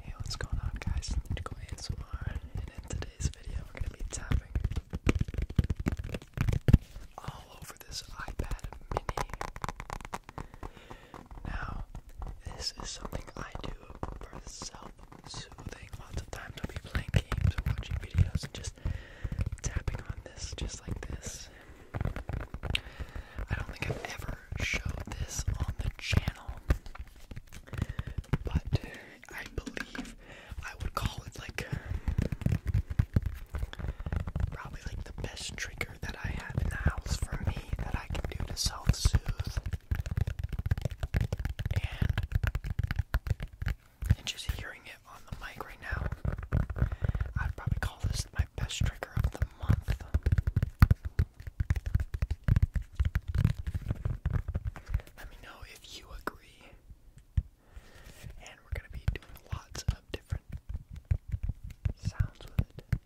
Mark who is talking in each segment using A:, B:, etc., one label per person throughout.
A: Hey, what's going on guys? Lyrical ASMR, and in today's video we're going to be tapping all over this iPad mini. Now, this is something I do for self-soothing. Lots of times I'll be playing games or watching videos just tapping on this just like this. I don't think I've ever Show this on the channel, but I believe I would call it like probably like the best trigger that I have in the house for me that I can do to self soothe. and just hearing it on the mic right now, I'd probably call this my best trigger of the month. Let me know if you agree. And we're going to be doing lots of different sounds with it.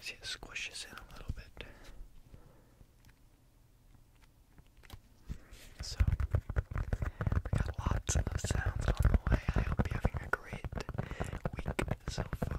A: See, it squishes in a little bit. So, we got lots of sounds on the way. I hope you're having a great week so far.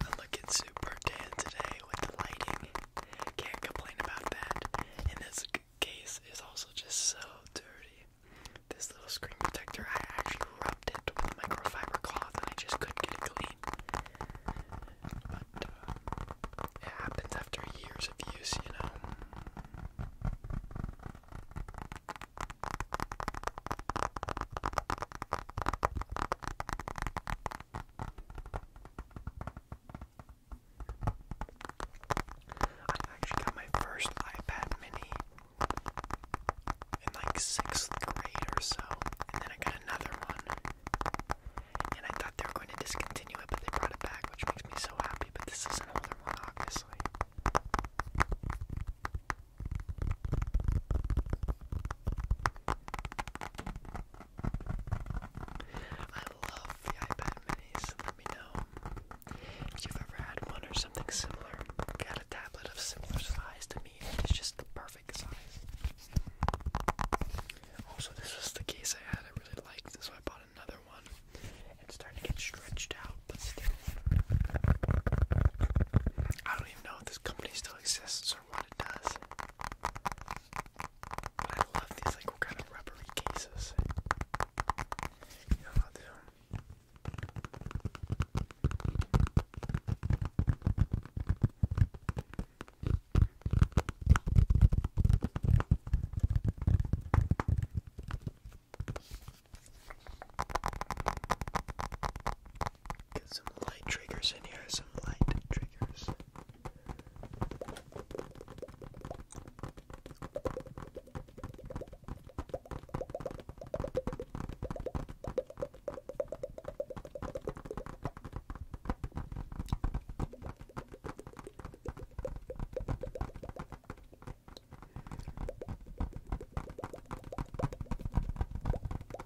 A: I'm looking super tan today with the lighting. Can't complain about that. And this case is also just so dirty. This little screen protector, I actually rubbed it with a microfiber cloth and I just couldn't get it clean. But uh, it happens after years of use, you know. I actually got my first iPad mini in like sixth grade or so, and then I got another one. And I thought they were going to discontinue it, but they brought it back, which makes me so happy. But this is an older one, obviously. I love the iPad minis. Let me know if you've ever had one or something similar. I a tablet of similar size to me, it's just the perfect size. Also, this was the case I had. I really liked it, so I bought another one. It's starting to get stretched out, but still. I don't even know if this company still exists for what it does. But I love these like kind of rubbery cases. You know how they I Get some light triggers in here, some light triggers.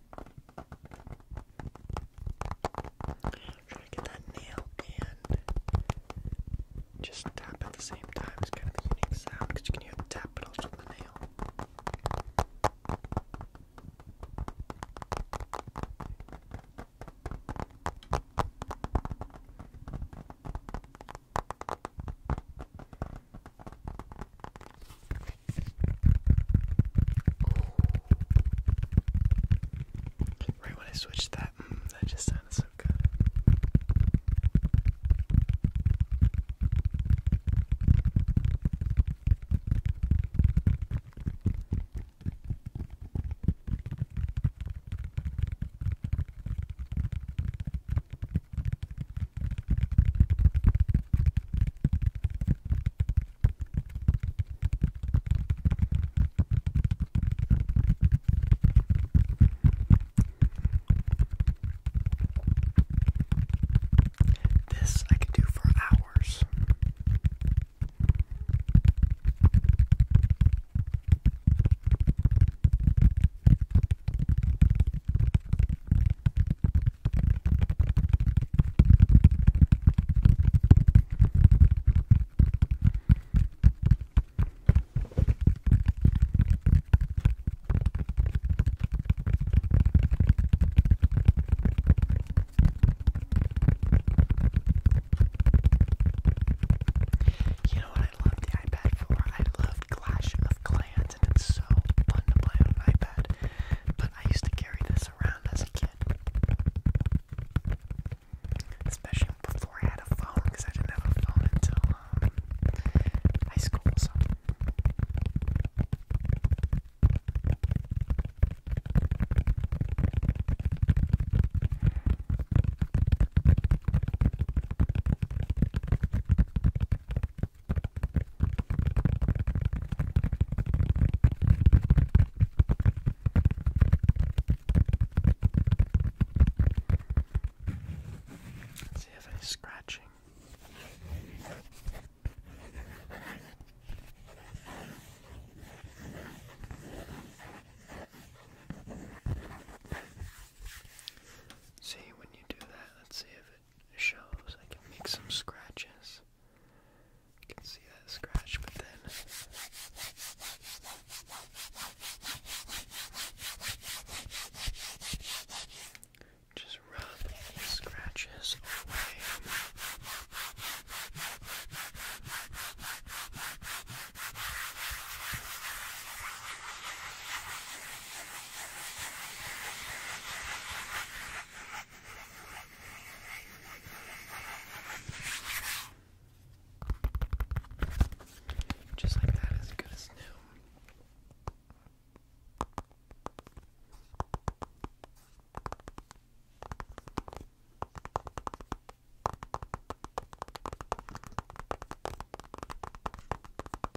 A: Try to get that nail and just tap at the same time. It's kind of a unique sound because you can hear the tap but also the nail. Right when I switched that, mm, that just sounded so good. This I could do for hours. You know what I love the iPad for? I love Clash of Clans and it's so fun to play on an iPad. But I used to carry this around as a kid. Especially before I had a phone, because I didn't have a phone until um, high school, Let's see if any scratching. See when you do that, let's see if shows I can make some scratches. can see that scratch, but then just rub the scratches away. Just like that, as good as new.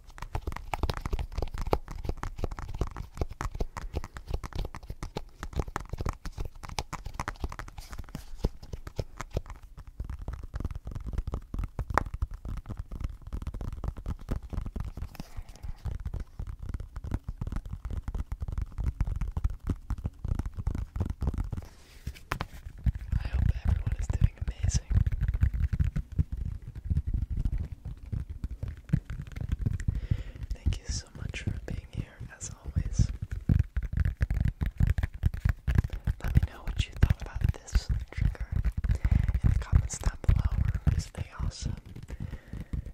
A: I hope everyone is doing amazing. Thank you so much for being here, as always. Let me know what you thought about this trigger in the comments down below, or is they awesome?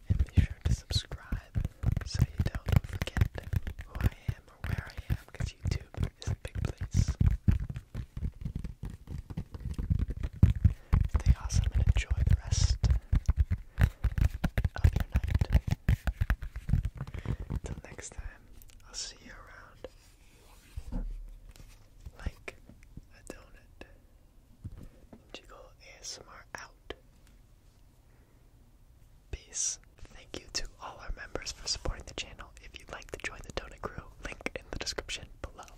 A: And be sure to subscribe so you don't forget who I am or where I am, because YouTube is a big place. Stay awesome and enjoy the rest of your night. Until next time, I'll see you around like a donut. Jiggle ASMR out. Peace. Thank you to all our members for supporting the channel. If you'd like to join the Donut Crew, link in the description below.